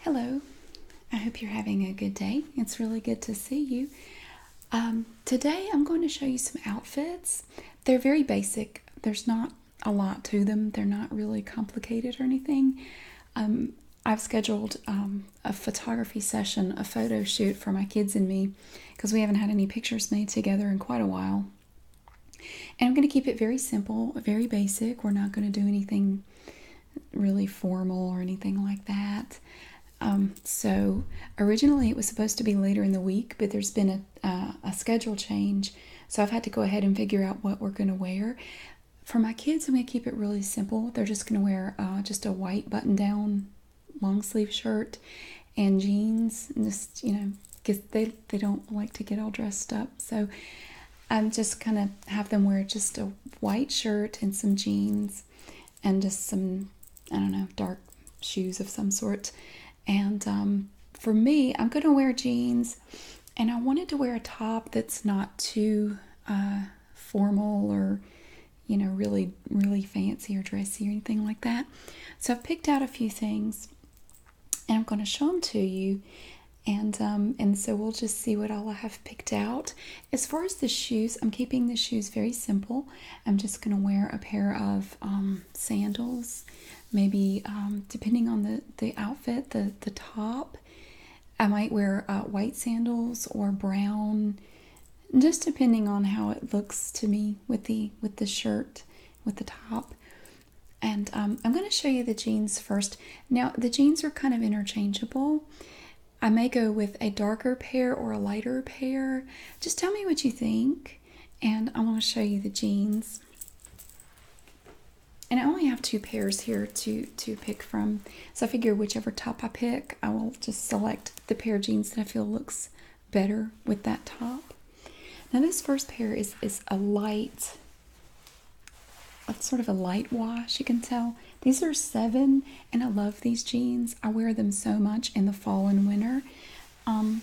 Hello, I hope you're having a good day. It's really good to see you. Um, today I'm going to show you some outfits. They're very basic, there's not a lot to them, they're not really complicated or anything. Um, I've scheduled um, a photography session, a photo shoot for my kids and me because we haven't had any pictures made together in quite a while. And I'm going to keep it very simple, very basic. We're not going to do anything really formal or anything like that. Um, so originally it was supposed to be later in the week, but there's been a, schedule change. So I've had to go ahead and figure out what we're going to wear. For my kids, I'm going to keep it really simple. They're just going to wear uh, just a white button down long sleeve shirt and jeans and just, you know, because they, they don't like to get all dressed up. So I'm just kind of have them wear just a white shirt and some jeans and just some, I don't know, dark shoes of some sort. And um, for me, I'm going to wear jeans and I wanted to wear a top that's not too uh, formal or, you know, really, really fancy or dressy or anything like that. So I've picked out a few things and I'm going to show them to you and um, and so we'll just see what all I have picked out. As far as the shoes, I'm keeping the shoes very simple. I'm just gonna wear a pair of um, sandals, maybe um, depending on the the outfit, the the top. I might wear uh, white sandals or brown, just depending on how it looks to me with the with the shirt, with the top. And um, I'm going to show you the jeans first. Now, the jeans are kind of interchangeable. I may go with a darker pair or a lighter pair. Just tell me what you think, and I want to show you the jeans. And I only have two pairs here to, to pick from. So I figure whichever top I pick, I will just select the pair of jeans that I feel looks better with that top. Now this first pair is, is a light sort of a light wash, you can tell. These are seven, and I love these jeans. I wear them so much in the fall and winter. Um,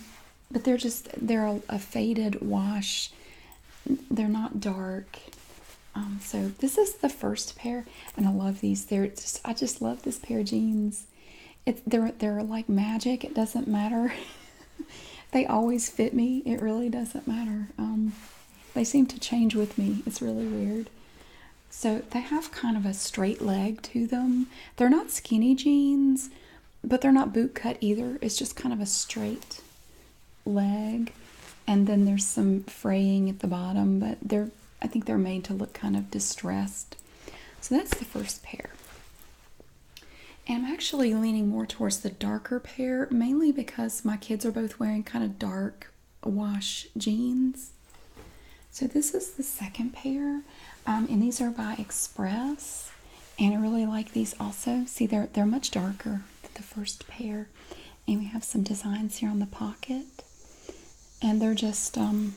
but they're just, they're a, faded wash. They're not dark. Um, so this is the first pair, and I love these. They're just, I just love this pair of jeans. It's, they're, they're like magic. It doesn't matter. they always fit me. It really doesn't matter. Um, they seem to change with me. It's really weird. So they have kind of a straight leg to them. They're not skinny jeans, but they're not boot cut either. It's just kind of a straight leg. And then there's some fraying at the bottom, but they're I think they're made to look kind of distressed. So that's the first pair. And I'm actually leaning more towards the darker mainly because my kids are both wearing kind of dark wash jeans. So this is the second pair, um, and these are by Express. And I really like these also. See, they're they're much darker than the first pair, and we have some designs here on the pocket. And they're just um,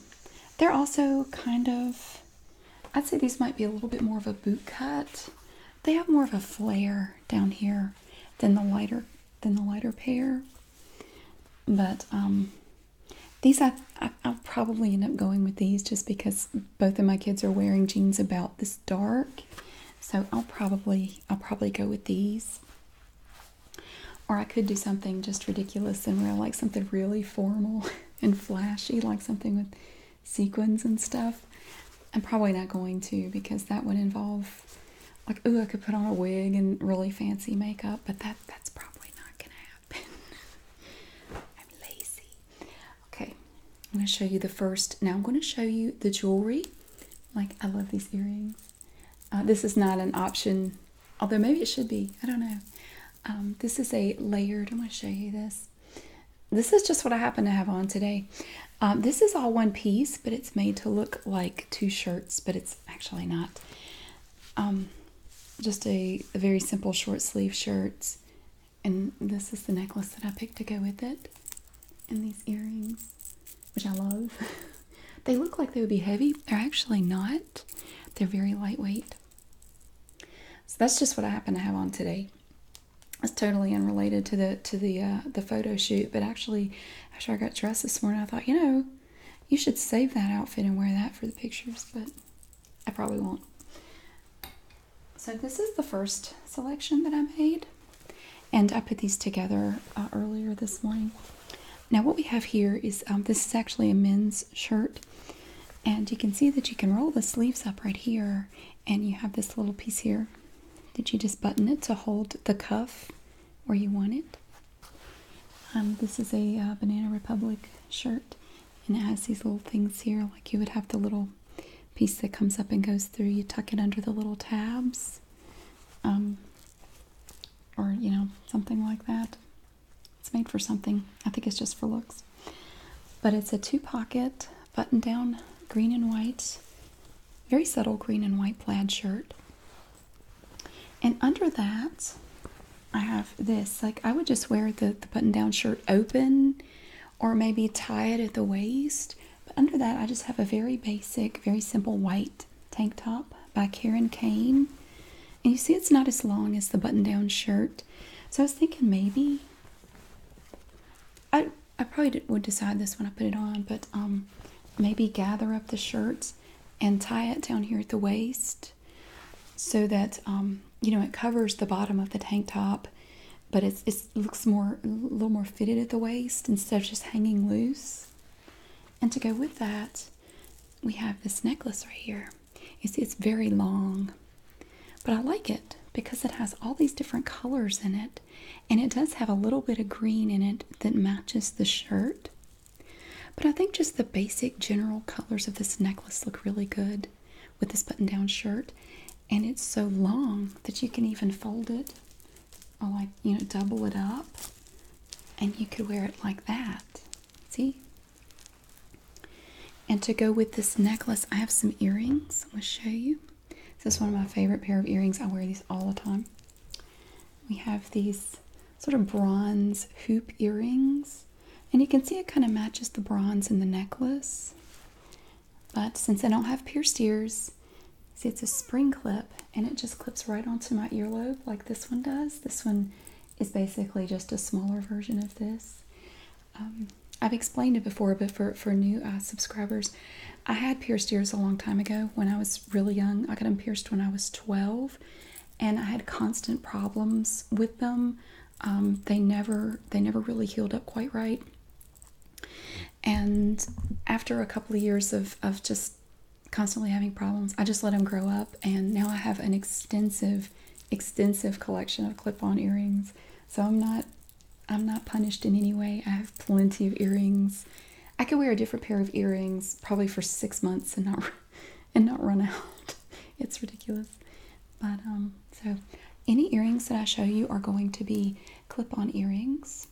they're also kind of I'd say these might be a little bit more of a boot cut they have more of a flare down here than the lighter than the lighter pair. But um, these I, I will probably end up going with these just because both of my kids are wearing jeans about this dark. So I'll probably I'll probably go with these. Or I could do something just ridiculous and wear like something really formal and flashy, like something with sequins and stuff. I'm probably not going to because that would involve like oh I could put on a wig and really fancy makeup, but that that's probably not gonna happen. I'm lazy. Okay, I'm gonna show you the first. Now I'm gonna show you the jewelry. Like I love these earrings. Uh, this is not an option, although maybe it should be. I don't know. Um, this is a layered. I'm gonna show you this. This is just what I happen to have on today. Um, this is all one piece, but it's made to look like two shirts, but it's actually not. Um, just a, very simple short sleeve shirts. And this is the necklace that I picked to go with it. And these earrings, which I love. they look like they would be heavy. They're actually not. They're very lightweight. So that's just what I happen to have on today. It's totally unrelated to the to the uh, the photo shoot, but actually after I got dressed this morning, I thought, you know, you should save that outfit and wear that for the pictures, but I probably won't. So this is the first selection that I made, and I put these together uh, earlier this morning. Now what we have here is, um, this is actually a men's shirt, and you can see that you can roll the sleeves up right here, and you have this little piece here did you just button it to hold the cuff where you want it? Um, this is a uh, Banana Republic shirt, and it has these little things here, like you would have the little piece that comes up and goes through. You tuck it under the little tabs, um, or you know, something like that. It's made for something. I think it's just for looks. But it's a two pocket button down green and white very subtle green and white plaid shirt. And under that, I have this. Like, I would just wear the, the button down shirt open or maybe tie it at the waist. But under that, I just have a very basic, very simple white tank top by Karen Kane. And you see, it's not as long as the button down shirt. So I was thinking maybe I I probably would decide this when I put it on, but um, maybe gather up the shirts and tie it down here at the waist so that um, you know it covers the bottom of the tank top, but it looks more a little more fitted at the waist instead of just hanging loose. And to go with that, we have this necklace right here. You see, it's very long, but I like it because it has all these different colors in it and it does have a little bit of green in it that matches the shirt. But I think just the basic general colors of this necklace look really good with this button down shirt, and it's so long that you can even fold it or, like, you know, double it up, and you could wear it like that. See? And to go with this necklace, I have some earrings. I'm going to show you. This is one of my favorite pair of earrings. I wear these all the time. We have these sort of bronze hoop earrings. And you can see it kind of matches the bronze in the necklace. But since I don't have pierced ears, see it's a spring clip and it just clips right onto my earlobe like this one does. This one is basically just a smaller version of this. Um, I've explained it before, but for, for new uh, subscribers, I had pierced ears a long time ago when I was really young. I got them pierced when I was 12, and I had constant problems with them. Um, they never they never really healed up quite right. And after a couple of years of of just constantly having problems, I just let them grow up, and now I have an extensive extensive collection of clip-on earrings. So I'm not I'm not punished in any way. I have plenty of earrings I could wear a different pair of earrings probably for six months and not and not run out. It's ridiculous. But um, so any earrings that I show you are going to be clip-on earrings.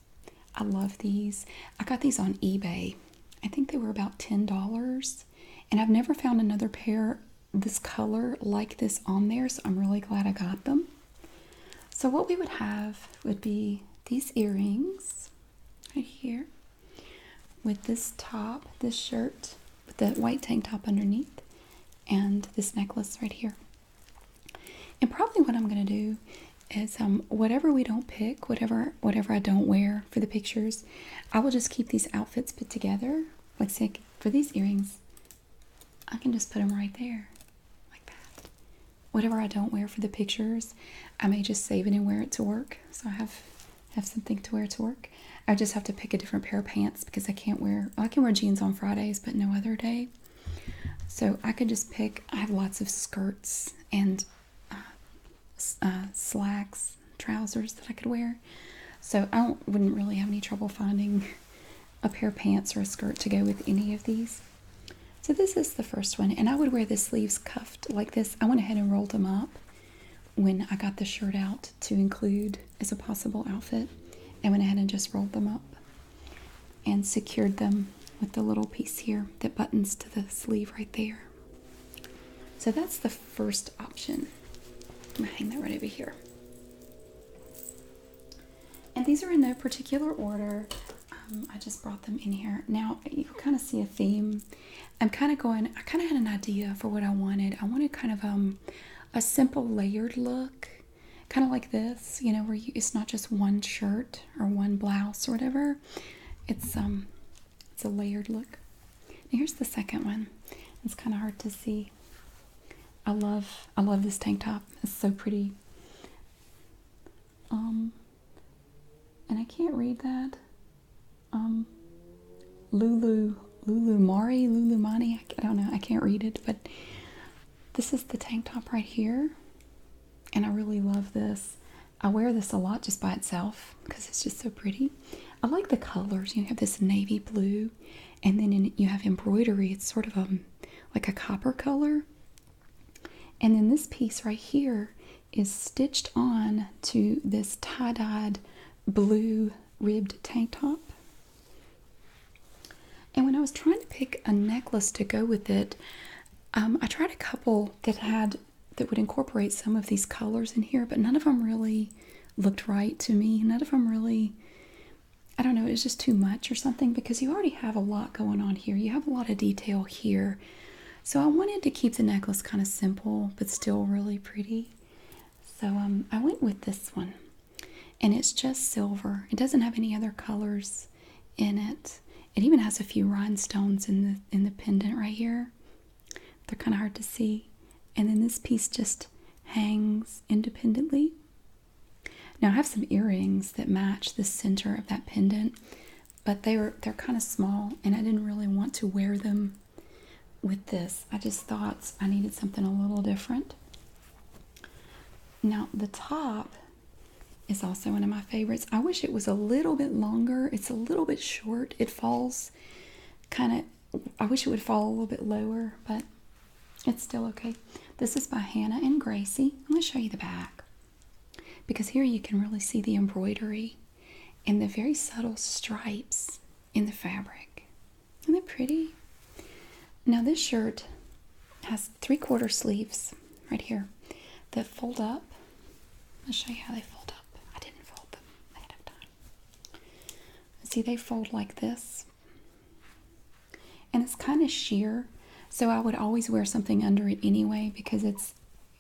I love these. I got these on eBay. I think they were about $10. And I've never found another pair this color like this on there, so I'm really glad I got them. So what we would have would be these earrings right here with this top, this shirt with the white tank top underneath, and this necklace right here. And probably what I'm gonna do is um, whatever we don't pick, whatever whatever I don't wear for the pictures, I will just keep these outfits put together. Like say for these earrings, I can just put them right there like that. Whatever I don't wear for the pictures, I may just save it and wear it to work. So I have have something to wear to work. I just have to pick a different pair of pants because I can't wear I can wear jeans on Fridays, but no other day. So I could just pick. I have lots of skirts and uh, uh, slacks, trousers that I could wear. So I wouldn't really have any trouble finding a pair of pants or a skirt to go with any of these. So this is the first one, and I would wear the sleeves cuffed like this. I went ahead and rolled them up when I got the shirt out to include as a possible outfit. I went ahead and just rolled them up and secured them with the little piece here that buttons to the sleeve right there. So that's the first option. I'm gonna hang that right over here. And these are in no particular order. Um, I just brought them in here. Now you kind of see a theme. I'm kind of going. I kind of had an idea for what I wanted. I wanted kind of um a simple layered look, kind of like this. You know, where you, it's not just one shirt or one blouse or whatever. It's um it's a layered look. here's the second one. It's kind of hard to see. I love I love this tank top. It's so pretty. Um, and I can't read that. Um, Lulu, Lulu Mari, Lulu Mani. I, don't know. I can't read it, but this is the tank top right here, and I really love this. I wear this a lot just by itself because it's just so pretty. I like the colors. You have this navy blue, and then in, you have embroidery. It's sort of um like a copper color, and then this piece right here is stitched on to this tie-dyed blue ribbed tank top. And when I was trying to pick a necklace to go with it, um, I tried a couple that had that would incorporate some of these colors in here, but none of them really looked right to me. None of them really, I don't know, it was just too much or something because you already have a lot going on here. You have a lot of detail here. So I wanted to keep the necklace kind of simple but still really pretty. So um, I went with this one. And it's just silver. It doesn't have any other colors in it. It even has a few rhinestones in the in the pendant right here. They're kind of hard to see. And then this piece just hangs independently. Now I have some earrings that match the center of that pendant but they were they're kind of small and I didn't really want to wear them with this. I just thought I needed something a little different. Now the top is also one of my favorites. I wish it was a little bit longer. It's a little bit short. It falls kind of I wish it would fall a little bit lower, but it's still okay. This is by Hannah and Gracie. Let me show you the back because here you can really see the embroidery and the very subtle stripes in the fabric. Isn't that pretty? Now, this shirt has three quarter sleeves right here that fold up. I'll show you how they fold up. I didn't fold them ahead of time. See, they fold like this, and it's kind of sheer. So I would always wear something under it anyway because it's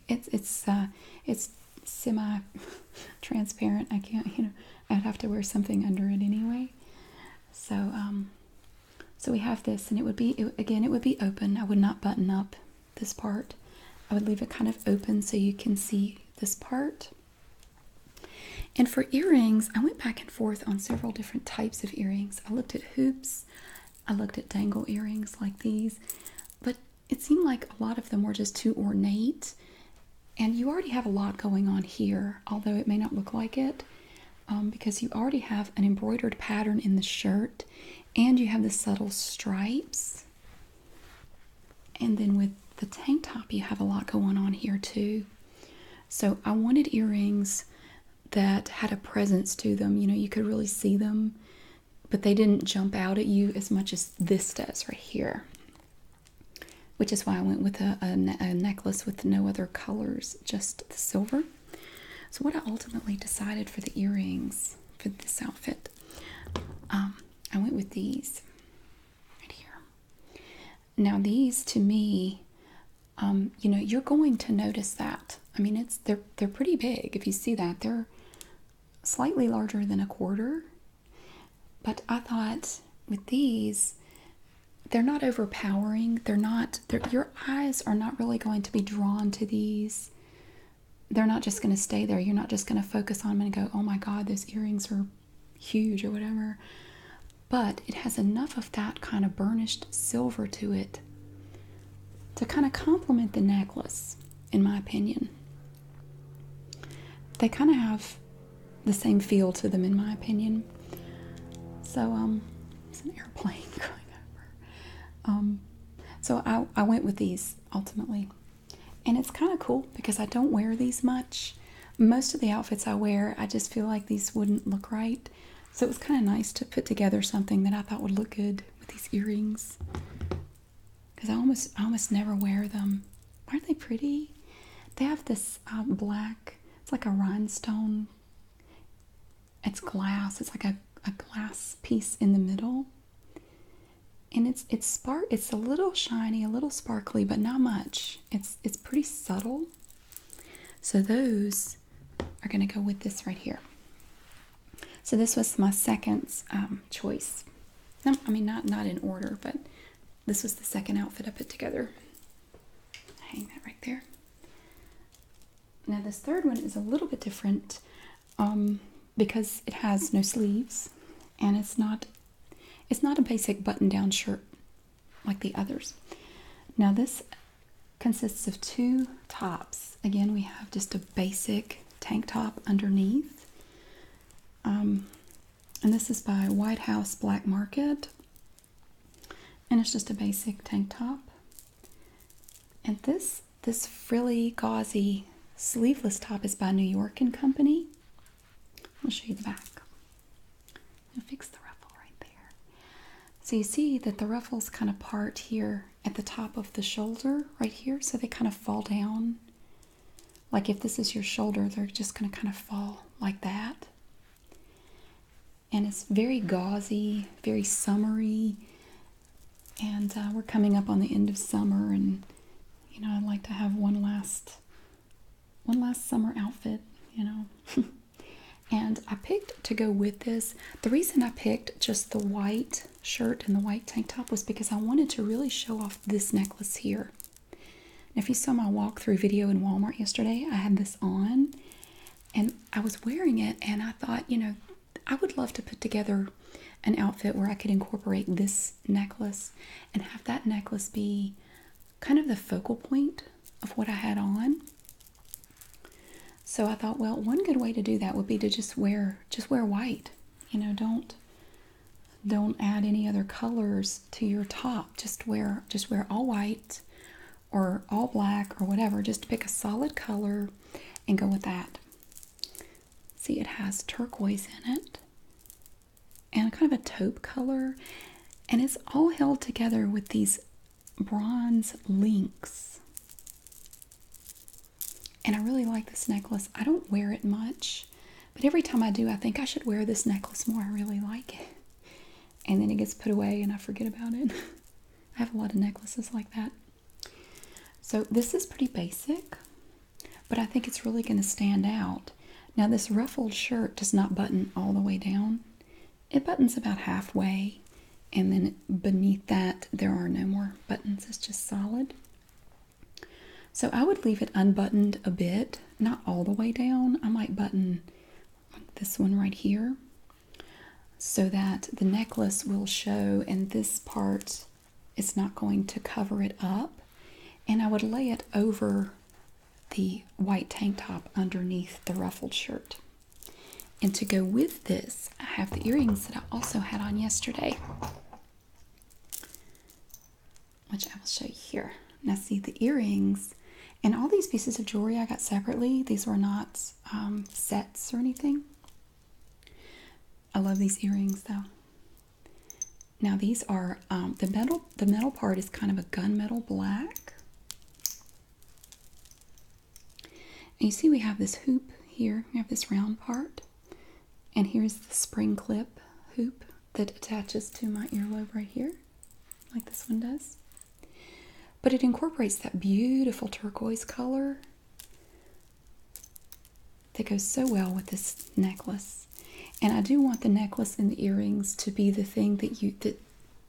it's it's uh, it's semi transparent. I can't you know I'd have to wear something under it anyway. So um, so we have this, and it would be again it would be open. I would not button up this part. I would leave it kind of open so you can see this part. And for earrings, I went back and forth on several different types of earrings. I looked at hoops, I looked at dangle earrings like these, but it seemed like a lot of them were just too ornate. And you already have a lot going on here, although it may not look like it, um, because you already have an embroidered pattern in the shirt and you have the subtle stripes. And then with the tank top, you have a lot going on here too. So I wanted earrings that had a presence to them. You know, you could really see them but they didn't jump out at you as much as this does right here. Which is why I went with a, necklace with no other colors, just the silver. So, what I ultimately decided for the earrings for this outfit, um, I went with these right here. Now, these to me, um, you know, you're going to notice that I mean, it's they're they're pretty big. If you see that, they're slightly larger than a quarter. But I thought with these, they're not overpowering. They're not. your eyes are not really going to be drawn to these. They're not just going to stay there. You're not just going to focus on them and go, "Oh my God, those earrings are huge" or whatever. But it has enough of that kind of burnished silver to it to kind of complement the necklace, in my opinion. They kind of have the same feel to them, in my opinion. So, um, it's an airplane going over. Um, so I, I went with these ultimately. And it's kind of cool because I don't wear these much. Most of the outfits I wear, I just feel like these wouldn't look right. So it was kind of nice to put together something that I thought would look good with these earrings because I almost I almost never wear them. Aren't they pretty? They have this um, black. It's like a rhinestone. It's glass. It's like a, a glass piece in the middle. And it's it's spark. It's a little shiny, a little sparkly, but not much. It's it's pretty subtle. So those are going to go with this right here. So this was my second um, choice. No, I mean not not in order, but this was the second outfit I put together. Hang that right there. Now this third one is a little bit different um, because it has no sleeves and it's not it's not a basic button-down shirt like the others. Now this consists of two tops. Again, we have just a basic tank top underneath. Um, and this is by White House Black Market. And it's just a basic tank top. And this this frilly gauzy sleeveless top is by New York and Company. I'll show you the back. I'll fix the ruffle right there. So you see that the ruffles kind of part here at the top of the shoulder right here. So they kind of fall down. Like if this is your shoulder, they're just going to kind of fall like that. And it's very gauzy, very summery. And uh, we're coming up on the end of summer, and you know, I'd like to have one last, one last summer outfit. You know. And I picked to go with this. The reason I picked just the white shirt and the white tank top was because I wanted to really show off this necklace here. if you saw my walkthrough video in Walmart yesterday, I had this on and I was wearing it and I thought, you know, I would love to put together an outfit where I could incorporate this necklace and have that necklace be kind of the focal point of what I had on. So I thought, well, one good way to do that would be to just wear just wear white. You know, don't don't add any other colors to your top. Just wear just wear all white or all black or whatever. Just pick a solid color and go with that. See, it has turquoise in it and kind of a taupe color, and it's all held together with these bronze links. And I really like this necklace. I don't wear it much, but every time I do, I think I should wear this necklace more. I really like it. And then it gets put away and I forget about it. I have a lot of necklaces like that. So this is pretty basic, but I think it's really going to stand out. Now, this ruffled shirt does not button all the way down, it buttons about halfway, and then beneath that, there are no more buttons. It's just solid. So I would leave it unbuttoned a bit, not all the way down. I might button this one right here so that the necklace will show and this part is not going to cover it up. And I would lay it over the white tank top underneath the ruffled shirt. And to go with this, I have the earrings that I also had on yesterday which I will show you here. Now, see the earrings and all these pieces of jewelry I got separately. These were not um, sets or anything. I love these earrings though. Now these are um, the metal. The metal part is kind of a gunmetal black. And you see, we have this hoop here. We have this round part, and here's the spring clip hoop that attaches to my earlobe right here, like this one does. But it incorporates that beautiful turquoise color that goes so well with this necklace. And I do want the necklace and the earrings to be the thing that you that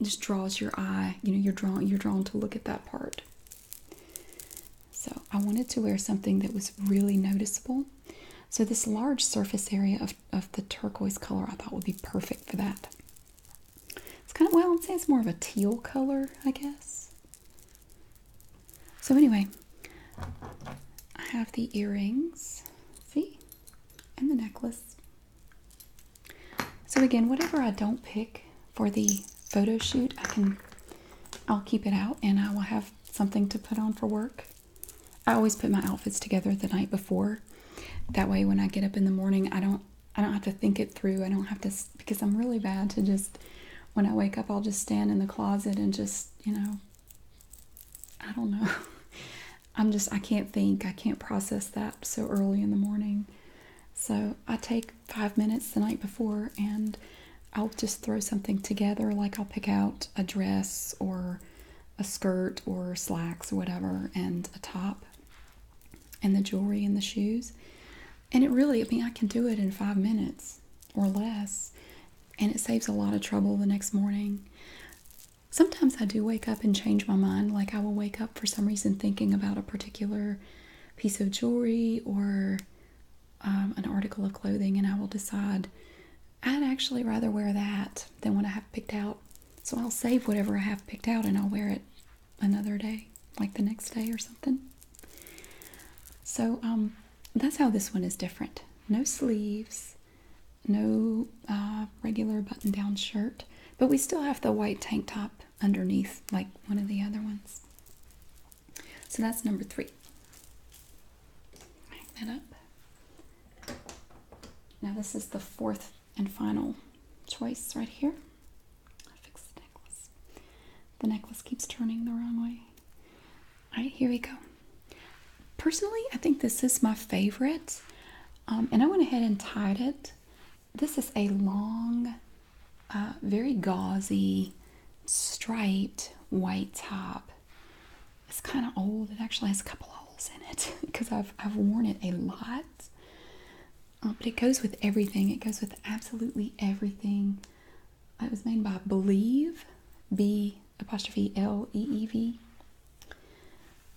just draws your eye. You know, you're drawn you're drawn to look at that part. So I wanted to wear something that was really noticeable. So this large surface area of, of the turquoise color I thought would be perfect for that. It's kind of, well, I'd say it's more of a teal color, I guess. So anyway, I have the earrings, see, and the necklace. So again, whatever I don't pick for the photo shoot, I can I'll keep it out and I will have something to put on for work. I always put my outfits together the night before. That way when I get up in the morning, I don't I don't have to think it through. I don't have to because I'm really bad to just when I wake up, I'll just stand in the closet and just, you know, I don't know. I'm just I can't think. I can't process that so early in the morning. So I take five minutes the night before and I'll just throw something together. Like I'll pick out a dress or a skirt or slacks or whatever and a top and the jewelry and the shoes. And it really, I mean, I can do it in five minutes or less. And it saves a lot of trouble the next morning. Sometimes I do wake up and change my mind. Like I will wake up for some reason thinking about a particular piece of jewelry or um, an article of clothing and I will decide I'd actually rather wear that than what I have picked out. So I'll save whatever I have picked out and I'll wear it another day, like the next day or something. So um, that's how this one is different. No sleeves, no uh, regular button down shirt, but we still have the white tank top underneath, like one of the other ones. So that's number three. that up. Now this is the fourth and final choice right here. the necklace. keeps turning the wrong way. All right, here we go. Personally, I think this is my favorite, um, and I went ahead and tied it. This is a long uh, very gauzy, striped white top. It's kind of old. It actually has a couple holes in it because I've, I've worn it a lot. Um, but it goes with everything. It goes with absolutely everything. It was made by Believe, B apostrophe L E E V.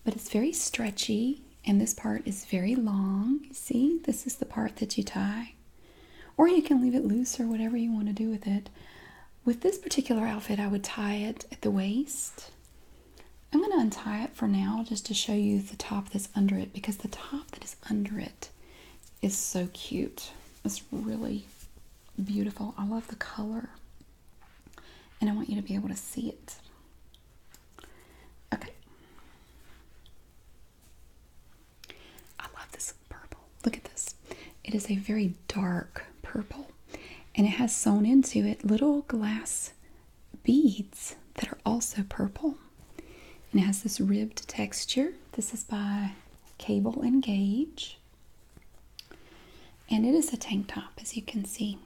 But it's very stretchy, and this part is very long. See, this is the part that you tie. Or you can leave it loose or whatever you want to do with it. With this particular outfit, I would tie it at the waist. I'm going to untie it for now just to show you the top that's under it because the top that is under it is so cute. It's really beautiful. I love the color and I want you to be able to see it. Okay. I love this purple. Look at this. It is a very dark purple and it has sewn into it little glass beads that are also purple. And it has this ribbed texture. This is by Cable and Gauge. And it is a tank top, as you can see.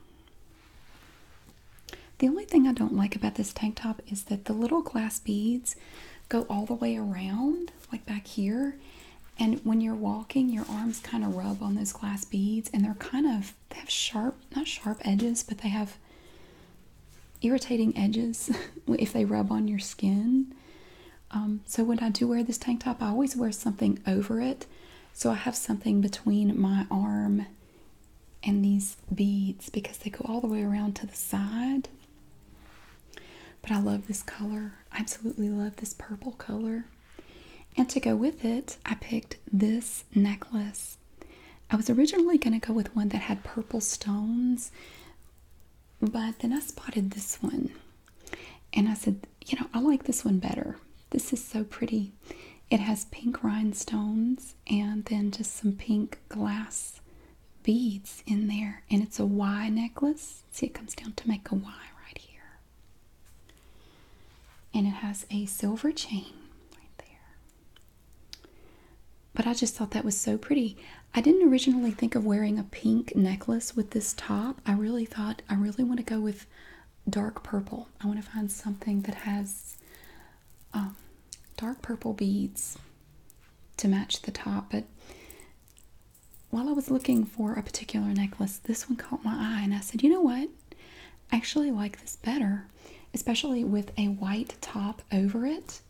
The only thing I don't like about this tank top is that the little glass beads go all the way around like back here. And when you're walking, your arms kind of rub on those glass beads, and they're kind of, they have sharp, not sharp edges, but they have irritating edges if they rub on your skin. Um, so when I do wear this tank top, I always wear something over it. So I have something between my arm and these beads because they go all the way around to the side. But I love this color. I absolutely love this purple color. And to go with it, I picked this necklace. I was originally going to go with one that had purple stones, but then I spotted this one. And I said, you know, I like this one better. This is so pretty. It has pink rhinestones and then just some pink glass beads in there and it's a Y necklace. See, it comes down to make a Y right here. And it has a silver chain right there. But I just thought that was so pretty. I didn't originally think of wearing a pink necklace with this top. I really thought I really want to go with dark purple. I want to find something that has um, dark purple beads to match the top, but while I was looking for a particular necklace, this one caught my eye, and I said, you know what? I actually like this better, especially with a white top over it.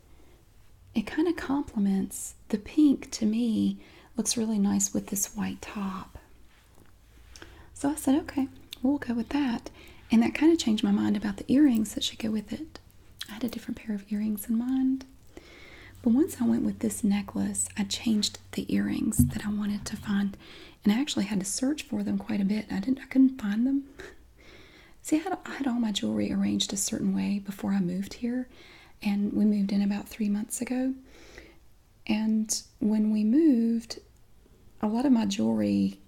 It kind of complements the pink to me, looks really nice with this white top. So I said, okay, we'll go with that. And that kind of changed my mind about the earrings that should go with it. I had a different pair of earrings in mind. But once I went with this necklace, I changed the earrings that I wanted to find, and I actually had to search for them quite a bit. I didn't, I couldn't find them. See, I had, I had all my jewelry arranged a certain way before I moved here, and we moved in about three months ago. And when we moved, a lot of my jewelry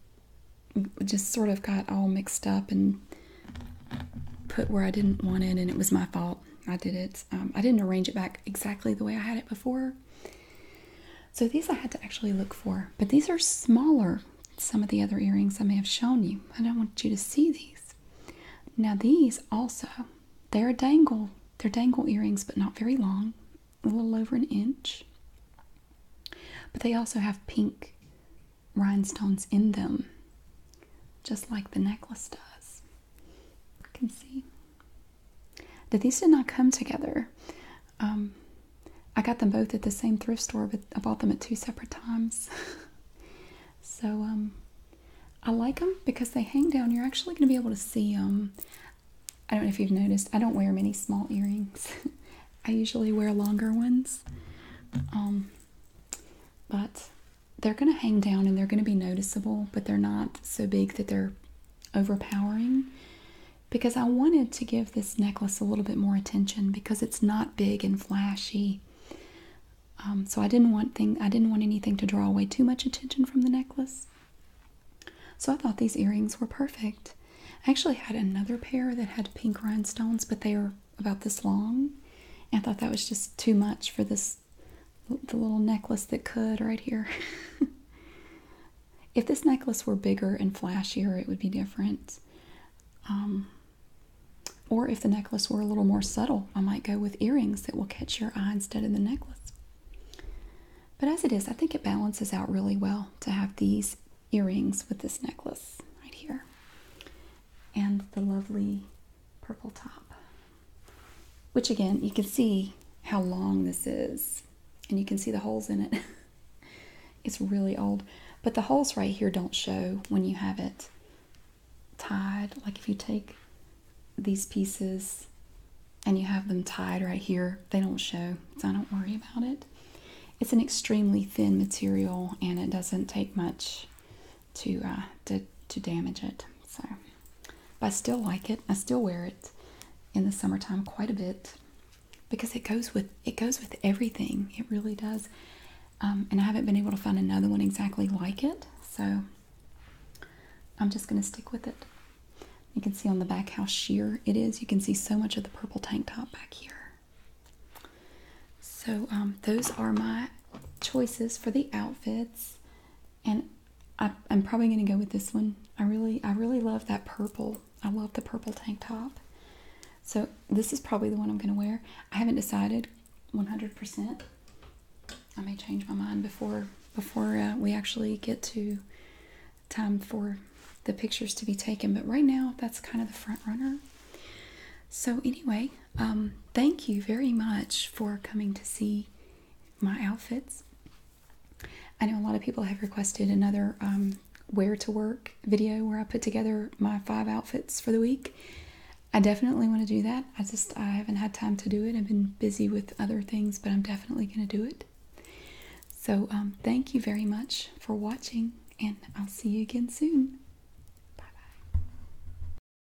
just sort of got all mixed up and put where I didn't want it, and it was my fault. I did it. Um, I didn't arrange it back exactly the way I had it before. So these I had to actually look for, but these are smaller. Some of the other earrings I may have shown you. I don't want you to see these. Now these also, they're dangle. They're dangle earrings, but not very long, a little over an inch. But they also have pink rhinestones in them just like the necklace does. You can see that these did not come together. Um, I got them both at the same thrift store, but I bought them at two separate times. so um, I like them because they hang down. You're actually going to be able to see them. I don't know if you've noticed, I don't wear many small earrings. I usually wear longer ones. Um, but they're going to hang down and they're going to be noticeable, but they're not so big that they're overpowering. Because I wanted to give this necklace a little bit more attention because it's not big and flashy. Um, so I didn't want thing I didn't want anything to draw away too much attention from the necklace. So I thought these earrings were perfect. I actually had another pair that had pink rhinestones, but they were about this long. And I thought that was just too much for this the little necklace that could right here. if this necklace were bigger and flashier, it would be different. Um, or if the necklace were a little more subtle, I might go with earrings that will catch your eye instead of the necklace. But as it is, I think it balances out really well to have these earrings with this necklace right here and the lovely purple top. Which again, you can see how long this is, and you can see the holes in it. it's really old, but the holes right here don't show when you have it tied. Like if you take these pieces and you have them tied right here, they don't show, so I don't worry about it. It's an extremely thin material and it doesn't take much to uh, to to damage it. So, but I still like it. I still wear it in the summertime quite a bit because it goes with it goes with everything. It really does. Um, and I haven't been able to find another one exactly like it. So I'm just going to stick with it. You can see on the back how sheer it is. You can see so much of the purple tank top back here. So um, those are my choices for the outfits and I, am probably going to go with this one. I really, I really love that purple. I love the purple tank top. So this is probably the one I'm going to wear. I haven't decided 100%. I may change my mind before before uh, we actually get to time for the pictures to be taken. But right now, that's kind of the front runner. So anyway, um, thank you very much for coming to see my outfits. I know a lot of people have requested another um, where to work video where I put together my five outfits for the week. I definitely want to do that. I just I haven't had time to do it. I've been busy with other things, but I'm definitely going to do it. So um, thank you very much for watching, and I'll see you again soon.